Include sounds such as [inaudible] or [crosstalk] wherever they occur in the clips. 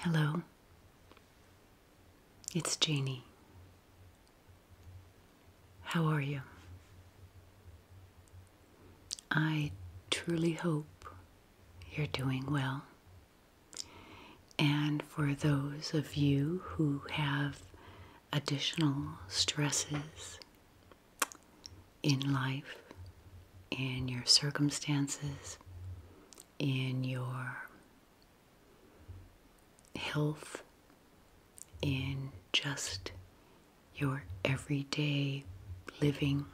Hello, it's Jeannie. How are you? I truly hope you're doing well. And for those of you who have additional stresses in life, in your circumstances, in your health, in just your everyday living,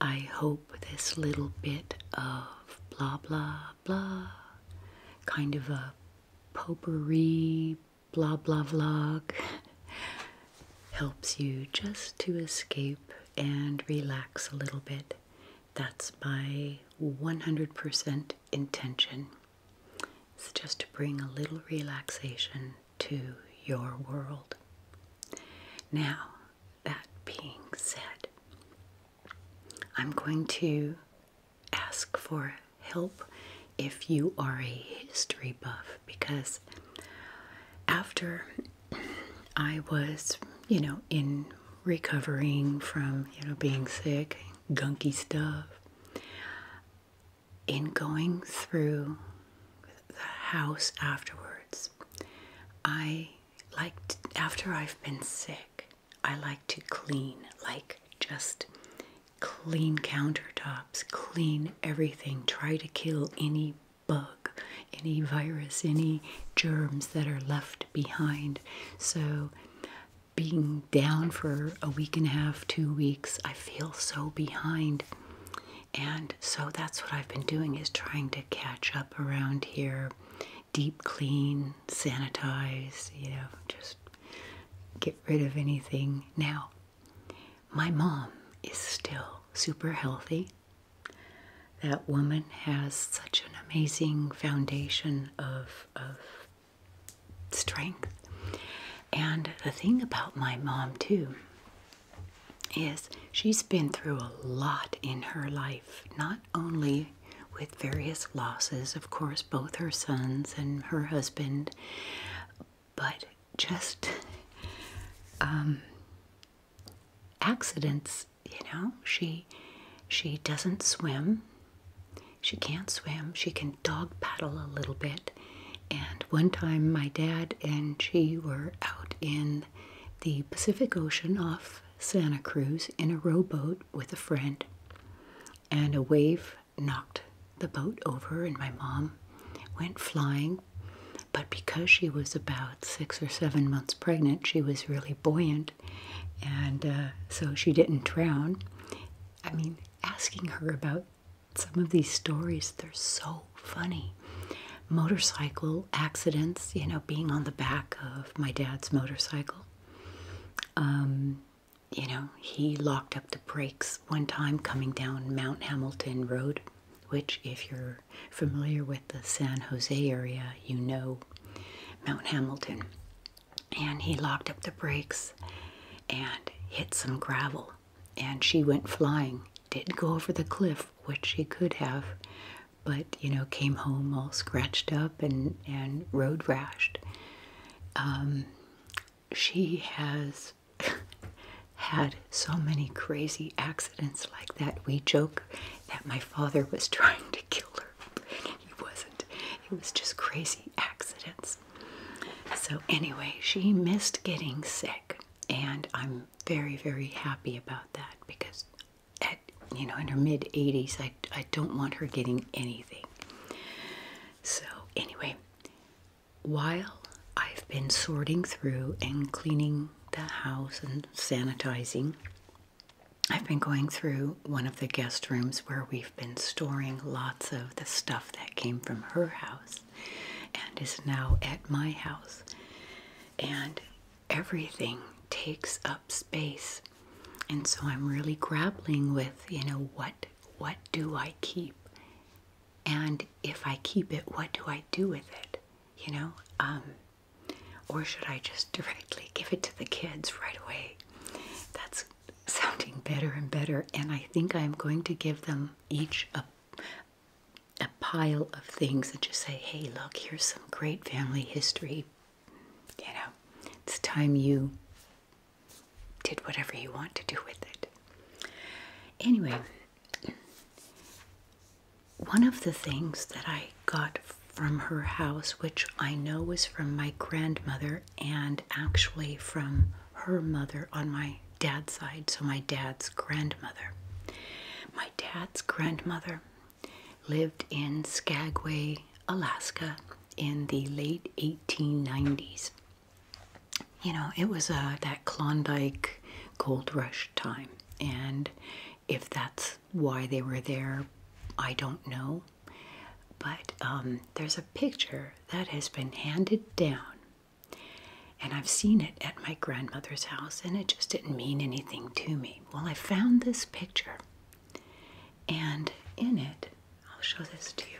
I hope this little bit of blah blah blah, kind of a potpourri blah blah vlog, [laughs] helps you just to escape and relax a little bit. That's my 100% intention. It's just to bring a little relaxation to your world. Now, that being said, I'm going to ask for help if you are a history buff because after I was, you know, in recovering from, you know, being sick, gunky stuff, in going through the house afterwards, I like after I've been sick, I like to clean, like just clean countertops, clean everything, try to kill any bug, any virus, any germs that are left behind. So being down for a week and a half, two weeks, I feel so behind. And so that's what I've been doing is trying to catch up around here deep clean, sanitize, you know, just get rid of anything. Now, my mom is still super healthy. That woman has such an amazing foundation of, of strength. And the thing about my mom, too, is she's been through a lot in her life, not only with various losses, of course, both her sons and her husband, but just um, accidents. You know, she she doesn't swim. She can't swim. She can dog paddle a little bit. And one time, my dad and she were out in the Pacific Ocean off Santa Cruz in a rowboat with a friend, and a wave knocked the boat over, and my mom went flying. But because she was about six or seven months pregnant, she was really buoyant, and uh, so she didn't drown. I mean, asking her about some of these stories, they're so funny. Motorcycle accidents, you know, being on the back of my dad's motorcycle. Um, you know, he locked up the brakes one time coming down Mount Hamilton Road, which, if you're familiar with the San Jose area, you know Mount Hamilton. And he locked up the brakes and hit some gravel, and she went flying. did go over the cliff, which she could have, but you know came home all scratched up and and road rashed. Um, she has [laughs] had so many crazy accidents like that. We joke that my father was [laughs] trying to kill her. He wasn't. It was just crazy accidents. So anyway, she missed getting sick and I'm very very happy about that because you know in her mid 80s I, I don't want her getting anything so anyway while I've been sorting through and cleaning the house and sanitizing I've been going through one of the guest rooms where we've been storing lots of the stuff that came from her house and is now at my house and everything takes up space. And so I'm really grappling with, you know, what what do I keep? And if I keep it, what do I do with it? You know, um, or should I just [laughs] directly give it to the kids right away? That's sounding better and better. And I think I'm going to give them each a, a pile of things and just say, hey, look, here's some great family history you know, it's time you did whatever you want to do with it. Anyway, one of the things that I got from her house, which I know was from my grandmother and actually from her mother on my dad's side, so my dad's grandmother. My dad's grandmother lived in Skagway, Alaska in the late 1890s. You know, it was uh, that Klondike gold rush time, and if that's why they were there, I don't know. But um, there's a picture that has been handed down, and I've seen it at my grandmother's house, and it just didn't mean anything to me well I found this picture and in it I'll show this to you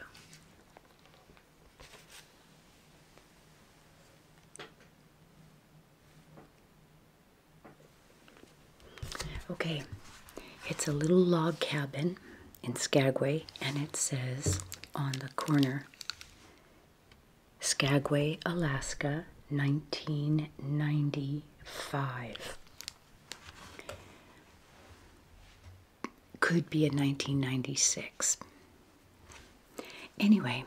Okay, it's a little log cabin in Skagway, and it says on the corner Skagway, Alaska, 1990 Five Could be in 1996. Anyway,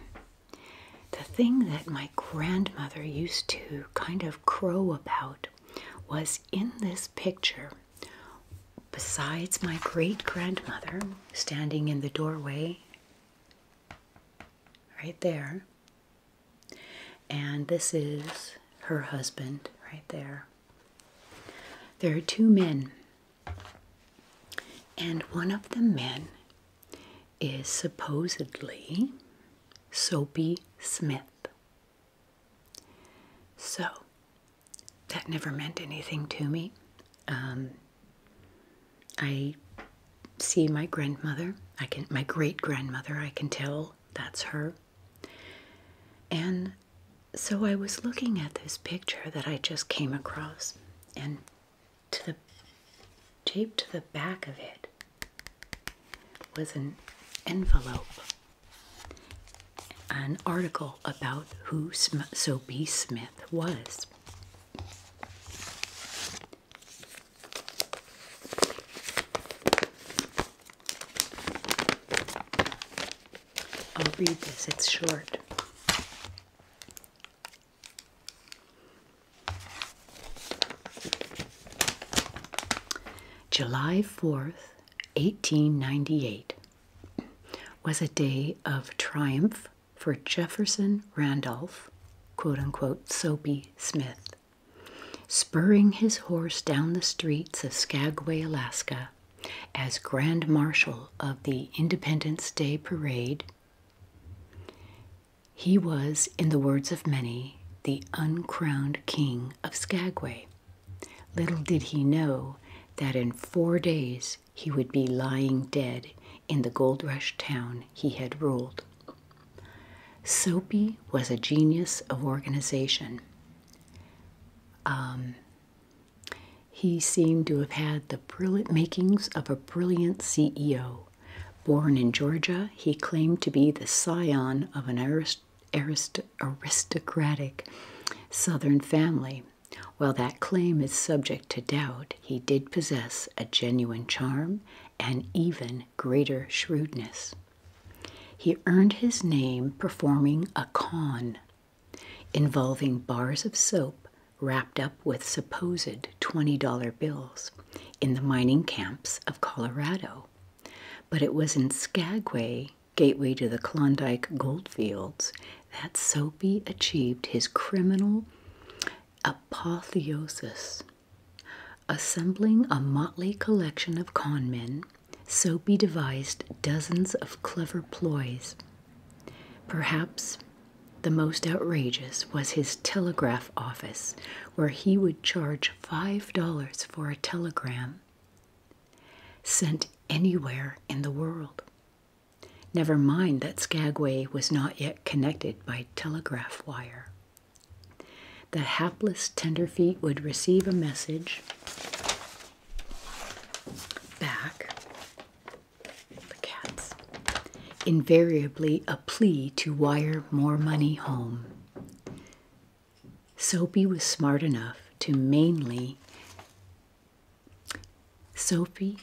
the thing that my grandmother used to kind of crow about was in this picture, besides my great grandmother standing in the doorway right there, and this is her husband right there. There are two men, and one of the men is supposedly Soapy Smith. So that never meant anything to me. Um, I see my grandmother. I can my great grandmother. I can tell that's her. And so I was looking at this picture that I just came across, and to the taped to the back of it was an envelope, an article about who Soapy Smith was. I'll read this, it's short. July 4th, 1898, was a day of triumph for Jefferson Randolph, quote unquote, Soapy Smith spurring his horse down the streets of Skagway, Alaska, as Grand Marshal of the Independence Day Parade. He was, in the words of many, the uncrowned king of Skagway. Little did he know that in four days he would be lying dead in the gold rush town he had ruled. Soapy was a genius of organization. Um, he seemed to have had the brilliant makings of a brilliant CEO. Born in Georgia, he claimed to be the scion of an aristocratic Southern family. While that claim is subject to doubt, he did possess a genuine charm and even greater shrewdness. He earned his name performing a con involving bars of soap wrapped up with supposed $20 bills in the mining camps of Colorado. But it was in Skagway, gateway to the Klondike goldfields, that Soapy achieved his criminal apotheosis Assembling a motley collection of con men, Soapy devised dozens of clever ploys. Perhaps the most outrageous was his telegraph office, where he would charge $5 for a telegram sent anywhere in the world. Never mind that Skagway was not yet connected by telegraph wire. The hapless tenderfeet would receive a message back, the cats, invariably a plea to wire more money home. Soapy was smart enough to mainly. Soapy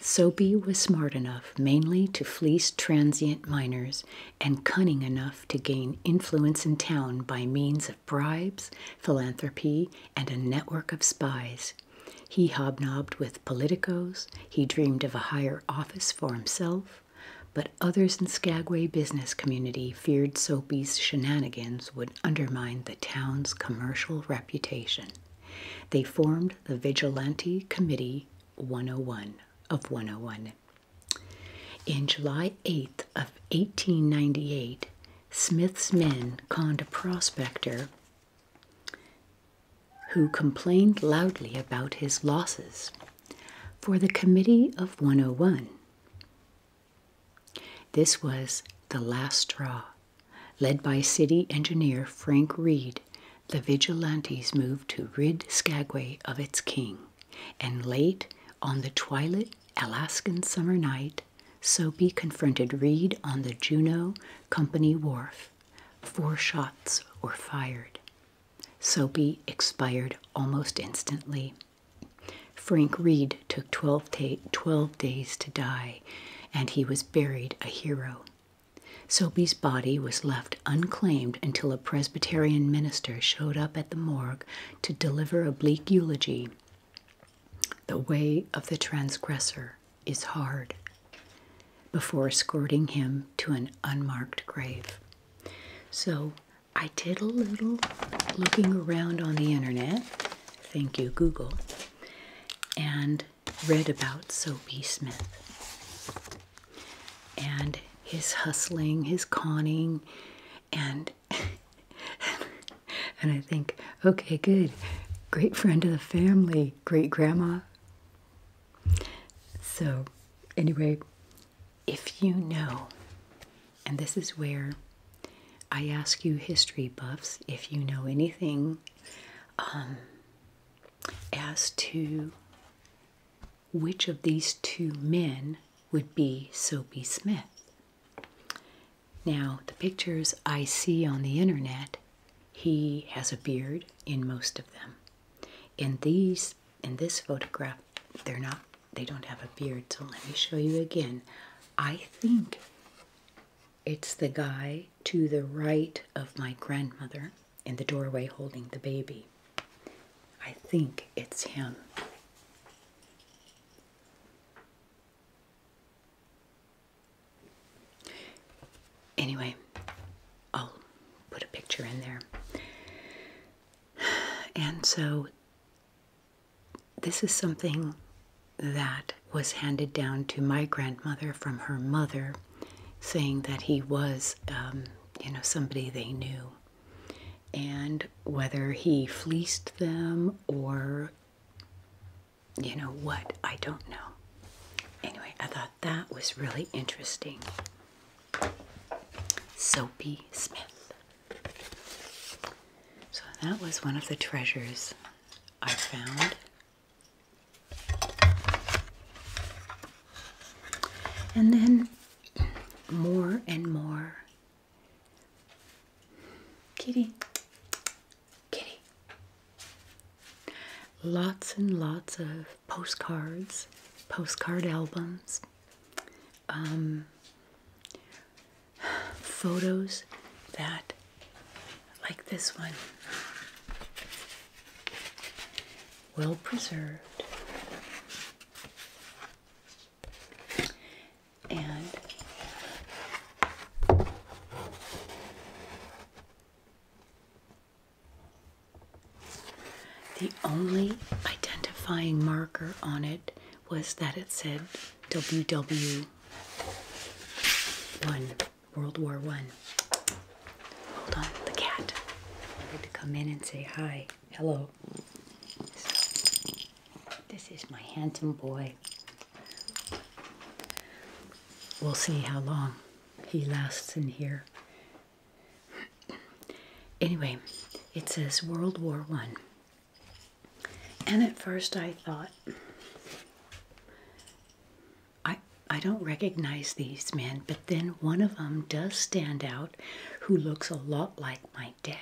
Sobey was smart enough mainly to fleece transient miners and cunning enough to gain influence in town by means of bribes, philanthropy, and a network of spies. He hobnobbed with politicos, he dreamed of a higher office for himself, but others in Skagway business community feared Soapy's shenanigans would undermine the town's commercial reputation. They formed the Vigilante Committee 101 of 101. In July 8th of 1898, Smith's men conned a prospector who complained loudly about his losses for the Committee of 101. This was the last straw, led by city engineer Frank Reed the vigilantes moved to rid Skagway of its king, and late on the twilight Alaskan summer night, Soapy confronted Reed on the Juneau Company wharf. Four shots were fired. Soapy expired almost instantly. Frank Reed took 12 days to die, and he was buried a hero. Soapy's body was left unclaimed until a Presbyterian minister showed up at the morgue to deliver a bleak eulogy. The way of the transgressor is hard, before escorting him to an unmarked grave. So I did a little looking around on the internet. Thank you, Google. And read about Soapy Smith and his hustling, his conning, and [laughs] and I think, okay, good, great friend of the family, great grandma. So, anyway, if you know, and this is where I ask you, history buffs, if you know anything um, as to which of these two men would be Soapy Smith. Now, the pictures I see on the internet, he has a beard in most of them. In these, in this photograph, they're not, they don't have a beard. So let me show you again. I think it's the guy to the right of my grandmother in the doorway holding the baby. I think it's him. Anyway, I'll put a picture in there. And so this is something that was handed down to my grandmother from her mother saying that he was, um, you know, somebody they knew. And whether he fleeced them or, you know, what, I don't know. Anyway, I thought that was really interesting. Soapy Smith. So that was one of the treasures I found and then more and more. Kitty, kitty. Lots and lots of postcards, postcard albums, um, photos that, like this one, well preserved. And the only identifying marker on it was that it said WW1. World War One. Hold on, the cat wanted to come in and say hi, hello. this is my handsome boy. We'll see how long he lasts in here. Anyway, it says World War One. And at first I thought I, I don't recognize these men, but then one of them does stand out who looks a lot like my dad.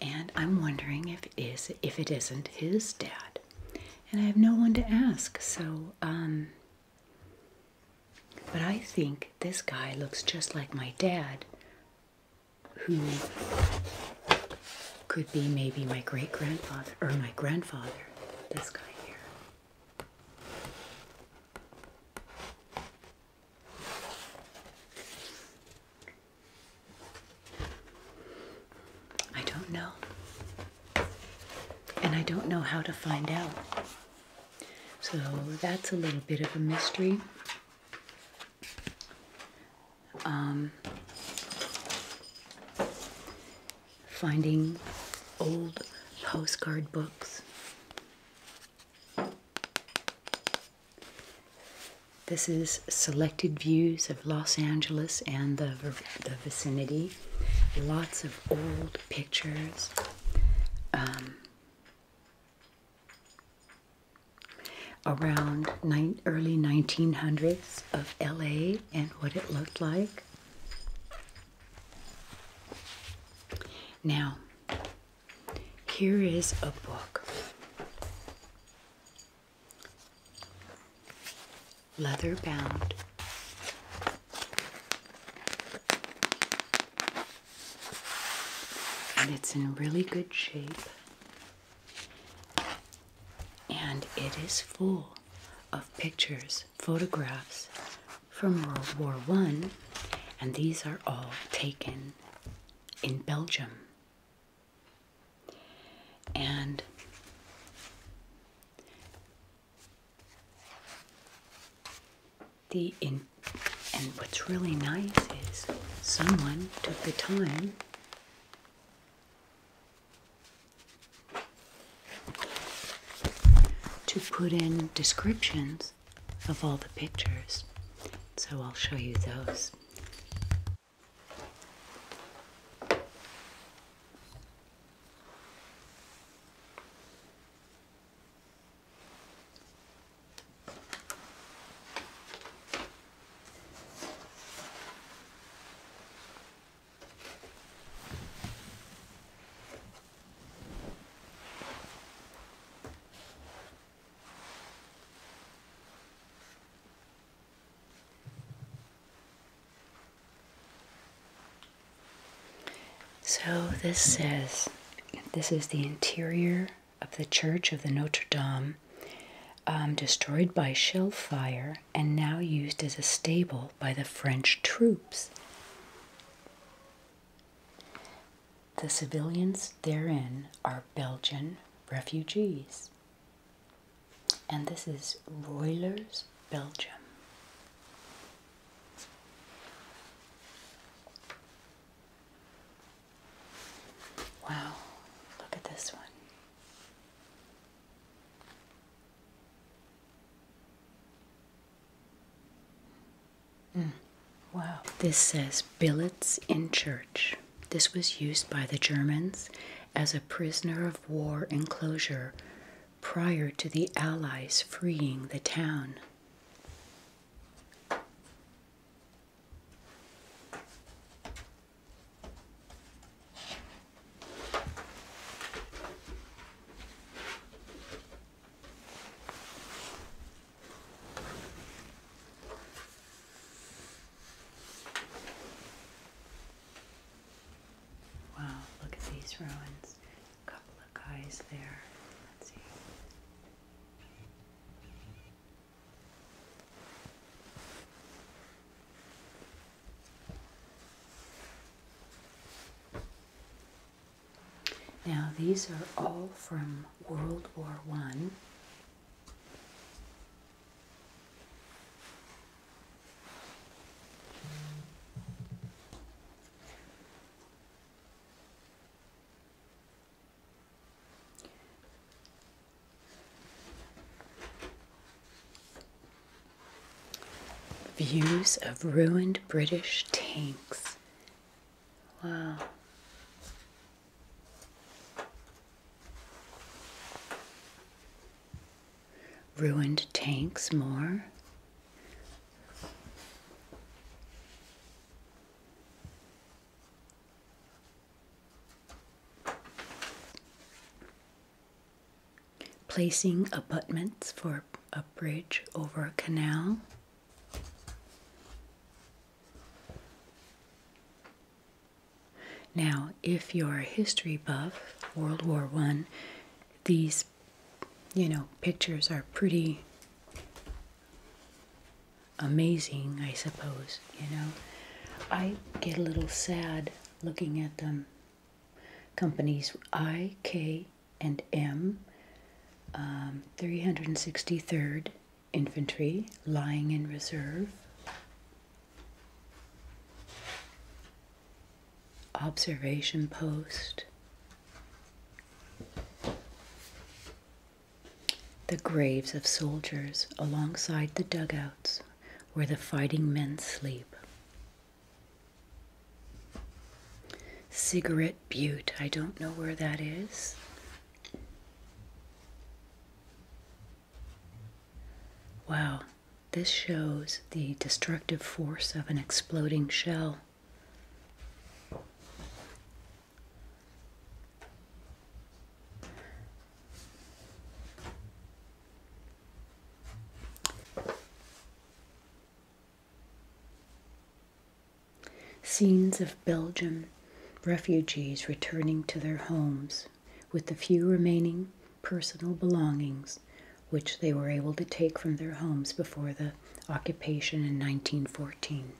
And I'm wondering if it is if it isn't his dad. And I have no one to ask, so um but I think this guy looks just like my dad, who could be maybe my great grandfather or my grandfather, this guy here. I don't know. And I don't know how to find out. So that's a little bit of a mystery. Um, finding old postcard books. This is selected views of Los Angeles and the, the vicinity. Lots of old pictures. Um, around early 1900s of LA and what it looked like. Now, here is a book. Leather bound. And it's in really good shape. And it is full of pictures, photographs, from World War One, and these are all taken in Belgium. And the in and what's really nice is someone took the time to put in descriptions of all the pictures. So I'll show you those. So this says, this is the interior of the Church of the Notre Dame, um, destroyed by shell fire and now used as a stable by the French troops the civilians therein are Belgian refugees. And this is Roilers, Belgium. Wow, look at this one. Mm, wow. This says billets in church. This was used by the Germans as a prisoner of war enclosure prior to the Allies freeing the town. Wow, look at these ruins. A couple of guys there. Let's see. Now, these are all from World War One. Views of ruined British tanks. Wow. Ruined tanks more placing abutments for a bridge over a canal. Now, if you're a history buff, World War I, these, you know, pictures are pretty amazing, I suppose, you know. I get a little sad looking at them. Companies IK and M, 363rd um, Infantry, lying in reserve. Observation post. The graves of soldiers alongside the dugouts where the fighting men sleep. Cigarette Butte. I don't know where that is. Wow, this shows the destructive force of an exploding shell. Scenes of Belgian refugees returning to their homes with the few remaining personal belongings which they were able to take from their homes before the occupation in 1914.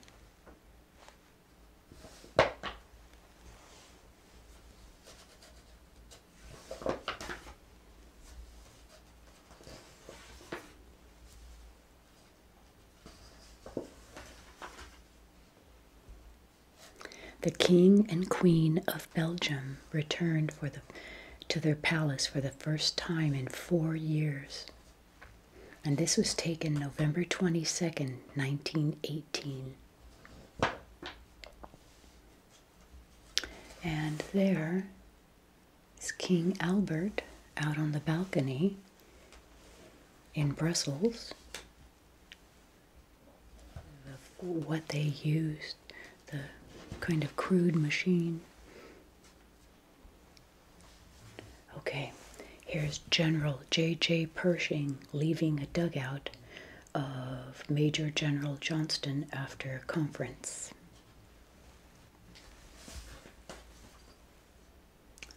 The king and queen of Belgium returned for the, to their palace for the first time in four years. And this was taken November 22nd, 1918. And there is King Albert out on the balcony in Brussels. what they used, the kind of crude machine. Okay, here's General J.J. Pershing leaving a dugout of Major General Johnston after a conference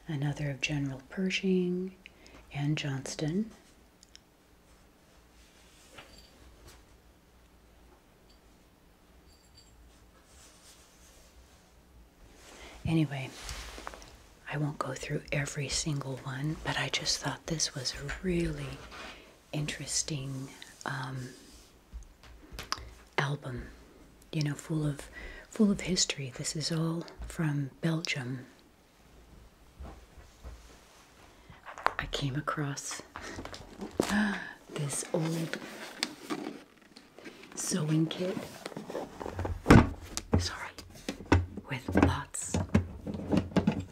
another of General Pershing and Johnston. Anyway, I won't go through every single one, but I just thought this was really interesting um, album, you know, full of full of history. This is all from Belgium. I came across [gasps] this old sewing kit. Sorry, with lots.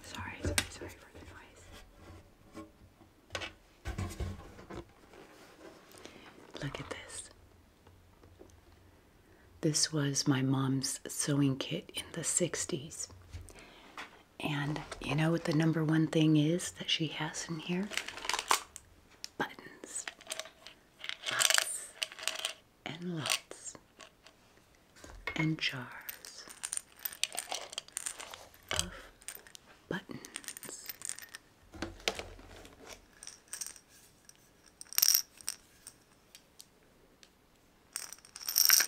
Sorry, sorry, sorry for the noise. Look at this. This was my mom's sewing kit in the 60s. And you know what the number one thing is that she has in here? Buttons. Lots and lots. And jars buttons.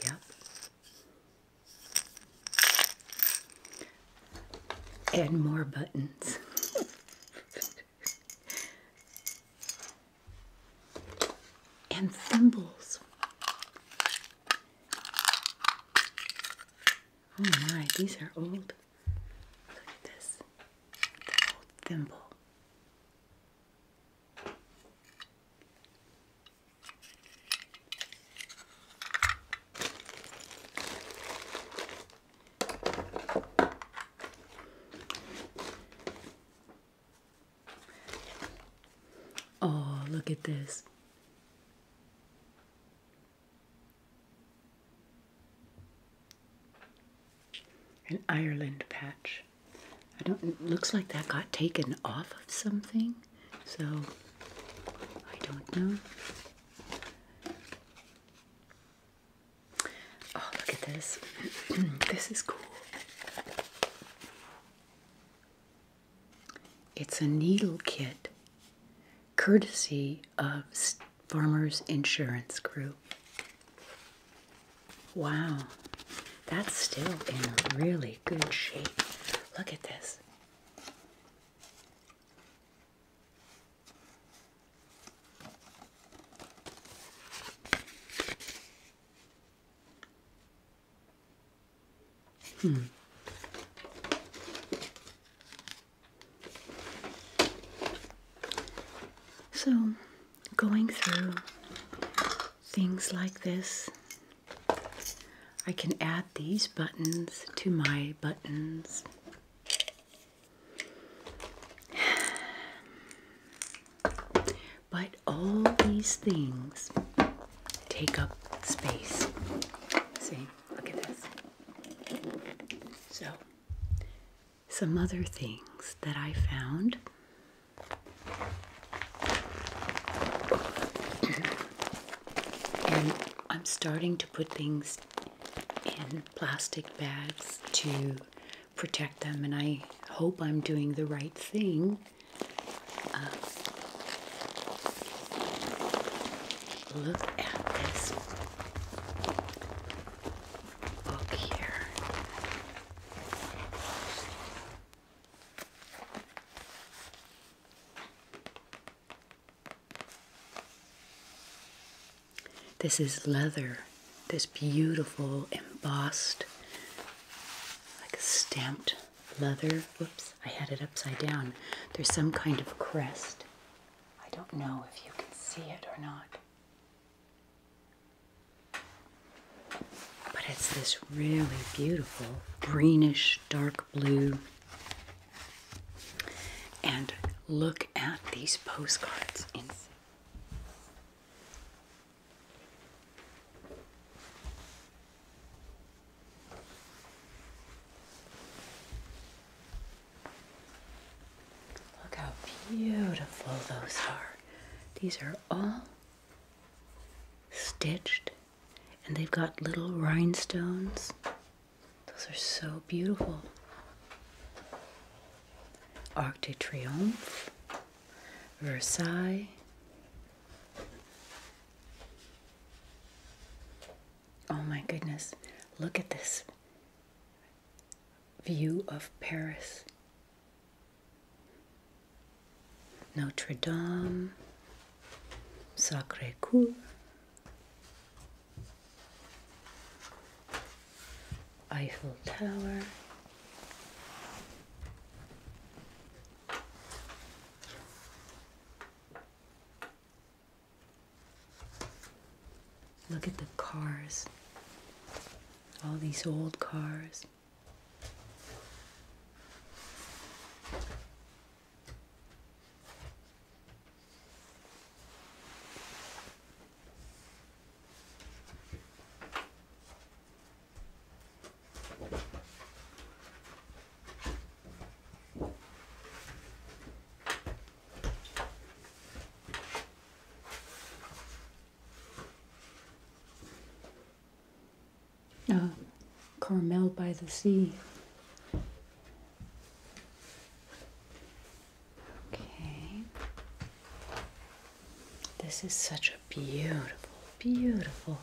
Yep. And more buttons. [laughs] and symbols. Oh my, these are old. Look at this. old thimble. Oh, look at this. An Ireland patch. I don't. looks like that got taken off of something, so I don't know. Oh, look at this! [clears throat] this is cool. It's a needle kit courtesy of Farmers Insurance Group. Wow, that's still in really good shape. Look at this. Hmm. So, going through things like this, I can add these buttons to my buttons. [sighs] But all these things take up space. See, look at this. So, some other things that I found. and I'm starting to put things in plastic bags to protect them, and I hope I'm doing the right thing look at this book here. This is leather, this beautiful embossed, like stamped leather. Whoops, I had it upside down. There's some kind of crest. I don't know if you can see it or not. But it's this really beautiful greenish dark blue. And look at these postcards inside. Look how beautiful those are. These are all stitched and they've got little rhinestones. Those are so beautiful. Arc de Triomphe, Versailles, Oh my goodness, look at this view of Paris. Notre Dame, Sacre Coeur. Eiffel Tower. Look at the cars. All these old cars. Uh, Carmel by the Sea. Okay. This is such a beautiful, beautiful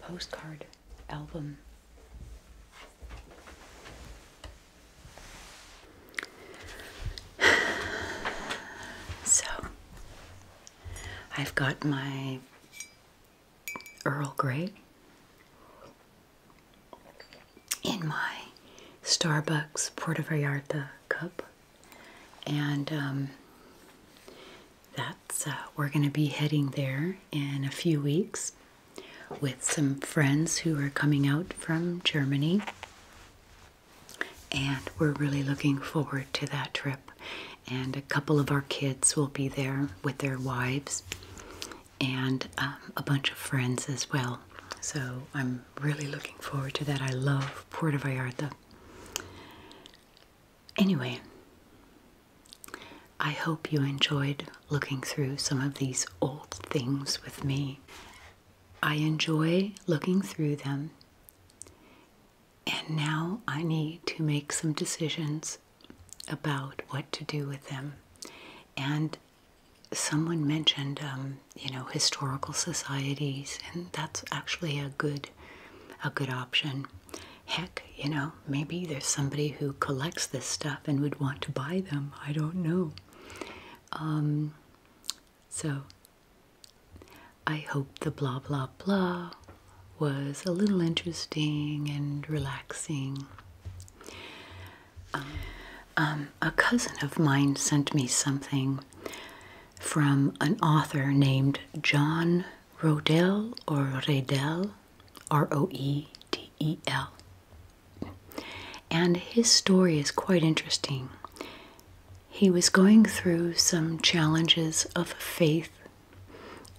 postcard album. [sighs] So, I've got my Earl Grey in my Starbucks Puerto cup and um, that's uh, we're going to be heading there in a few weeks with some friends who are coming out from Germany, and we're really looking forward to that trip. And a couple of our kids will be there with their wives and um, a bunch of friends as well. So I'm really looking forward to that. I love Puerto Vallarta. Anyway, I hope you enjoyed looking through some of these old things with me. I enjoy looking through them, and now I need to make some decisions about what to do with them. And someone mentioned, um, you know, historical societies, and that's actually a good, a good option heck, you know, maybe there's somebody who collects this stuff and would want to buy them. I don't know. Um, so I hope the blah blah blah was a little interesting and relaxing. Um, um, a cousin of mine sent me something from an author named John Rodel or Redel, R O E D E L. And his story is quite interesting. He was going through some challenges of faith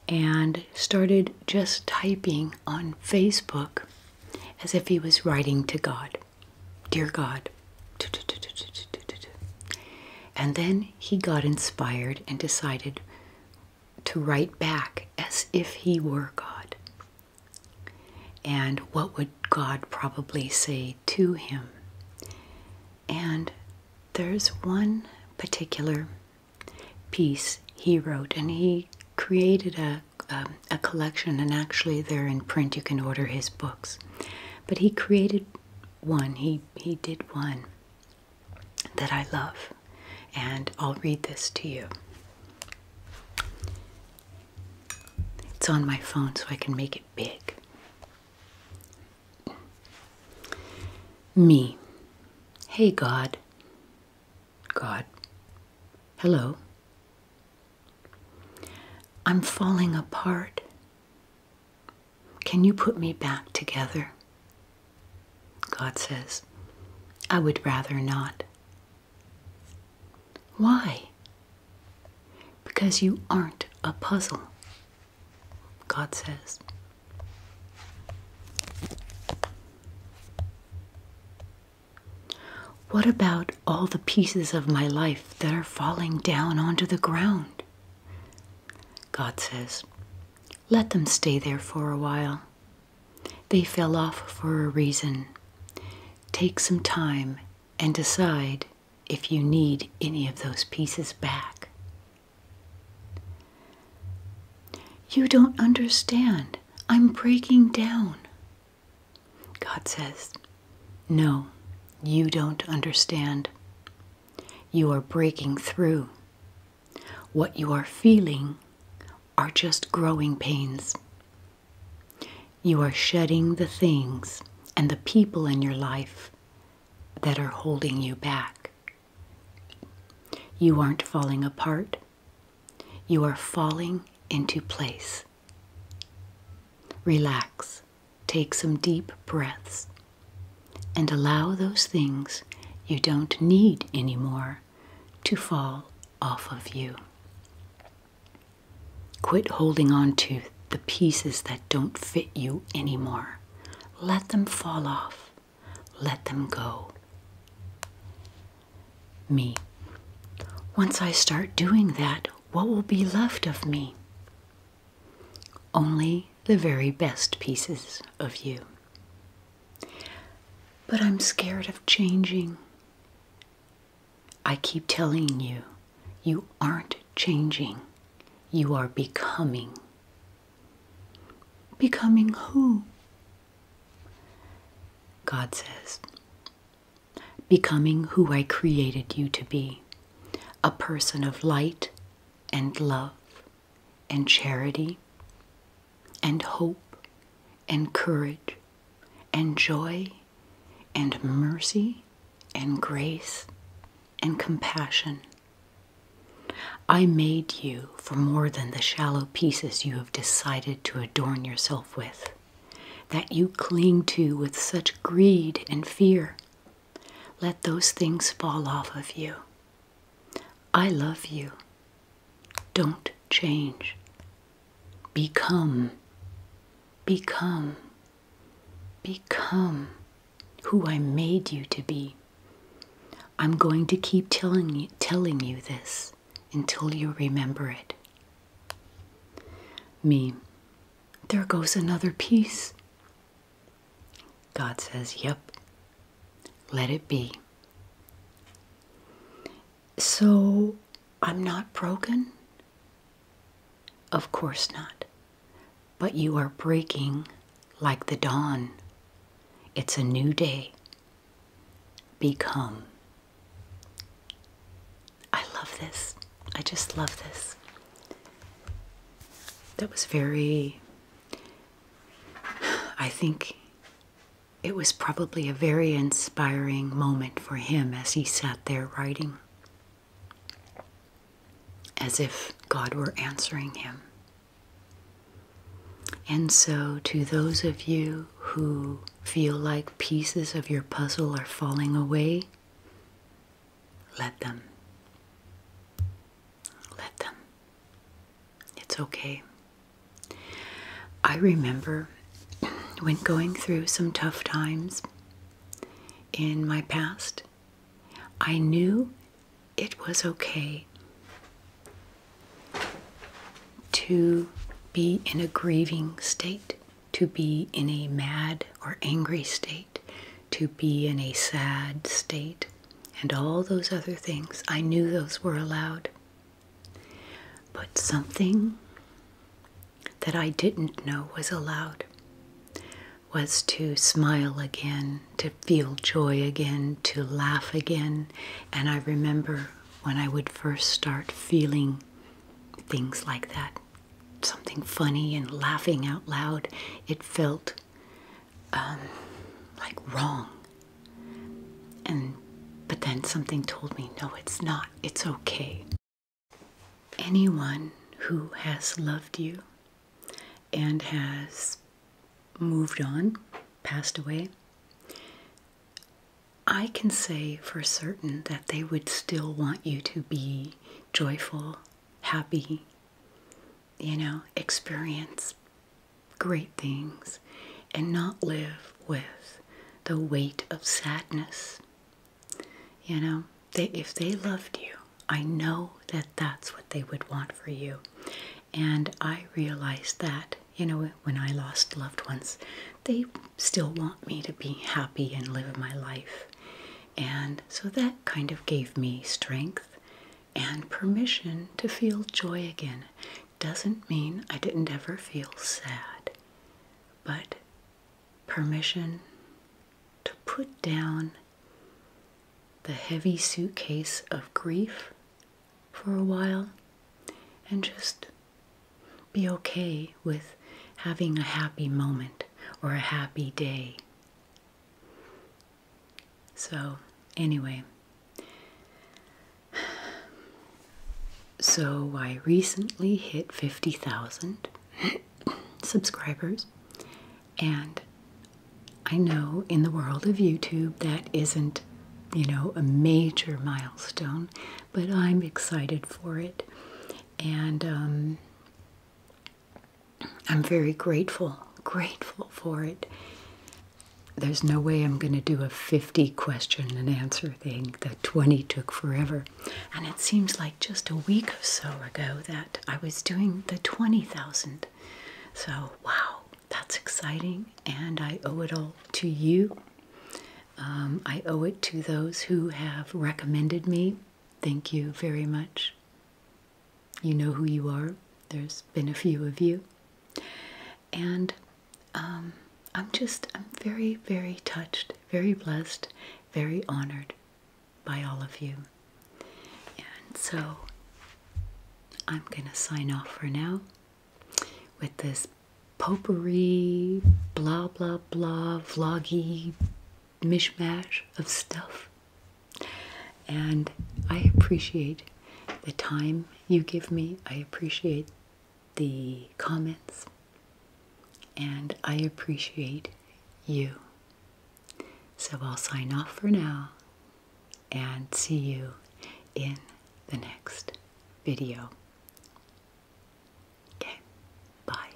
and started just typing on Facebook as if he was writing to God Dear God. And then he got inspired and decided to write back as if he were God. And what would God probably say to him? And there's one particular piece he wrote, and he created a, um, a collection, and actually there in print. You can order his books. But he created one. He he, did one that I love, and I'll read this to you. It's on my phone so I can make it big. Me. Hey, God. God. Hello. I'm falling apart. Can you put me back together? God says, I would rather not. Why? Because you aren't a puzzle, God says. What about all the pieces of my life that are falling down onto the ground? God says, Let them stay there for a while. They fell off for a reason. Take some time and decide if you need any of those pieces back. You don't understand. I'm breaking down. God says, No, you don't understand. You are breaking through. What you are feeling are just growing pains. You are shedding the things and the people in your life that are holding you back. You aren't falling apart. You are falling into place. Relax. Take some deep breaths and allow those things you don't need anymore to fall off of you. Quit holding on to the pieces that don't fit you anymore. Let them fall off. Let them go. Me. Once I start doing that, what will be left of me? Only the very best pieces of you. But I'm scared of changing. I keep telling you, you aren't changing. You are becoming. Becoming who? God says. Becoming who I created you to be a person of light and love and charity and hope and courage and joy and mercy and grace and compassion. I made you for more than the shallow pieces you have decided to adorn yourself with, that you cling to with such greed and fear, let those things fall off of you. I love you. Don't change. Become. Become. Become who I made you to be. I'm going to keep telling you, telling you this until you remember it. Me, there goes another piece. God says, Yep, let it be. So I'm not broken? Of course not. But you are breaking like the dawn. It's a new day. Become. I love this. I just love this that was very, I think it was probably a very inspiring moment for him as he sat there writing, as if God were answering him. And so, to those of you who feel like pieces of your puzzle are falling away, let them. Let them. It's okay. I remember when going through some tough times in my past, I knew it was okay to be in a grieving state, to be in a mad or angry state, to be in a sad state, and all those other things. I knew those were allowed. But something that I didn't know was allowed was to smile again, to feel joy again, to laugh again. And I remember when I would first start feeling things like that, something funny and laughing out loud, it felt um, like wrong. And but then something told me, no, it's not. It's okay. Anyone who has loved you and has moved on, passed away, I can say for certain that they would still want you to be joyful, happy, you know, experience great things and not live with the weight of sadness. You know, they, if they loved you, I know that that's what they would want for you. And I realize that, you know, when I lost loved ones, they still want me to be happy and live my life. And so that kind of gave me strength and permission to feel joy again. Doesn't mean I didn't ever feel sad, but permission to put down the heavy suitcase of grief for a while and just be okay with having a happy moment or a happy day so, anyway. So, I recently hit 50,000 [coughs] subscribers, and I know in the world of YouTube that isn't, you know, a major milestone, but I'm excited for it. And um, I'm very grateful, grateful for it. There's no way I'm going to do a 50 question and answer thing. The 20 took forever. And it seems like just a week or so ago that I was doing the 20,000. So, wow, that's exciting. And I owe it all to you. Um, I owe it to those who have recommended me. Thank you very much. You know who you are. There's been a few of you. And um, I'm just, I'm very, very touched, very blessed, very honored by all of you. And so I'm going to sign off for now with this potpourri, blah, blah, blah, vloggy mishmash of stuff. And I appreciate the time you give me. I appreciate the comments. And I appreciate you. So I'll sign off for now and see you in the next video. Okay, bye.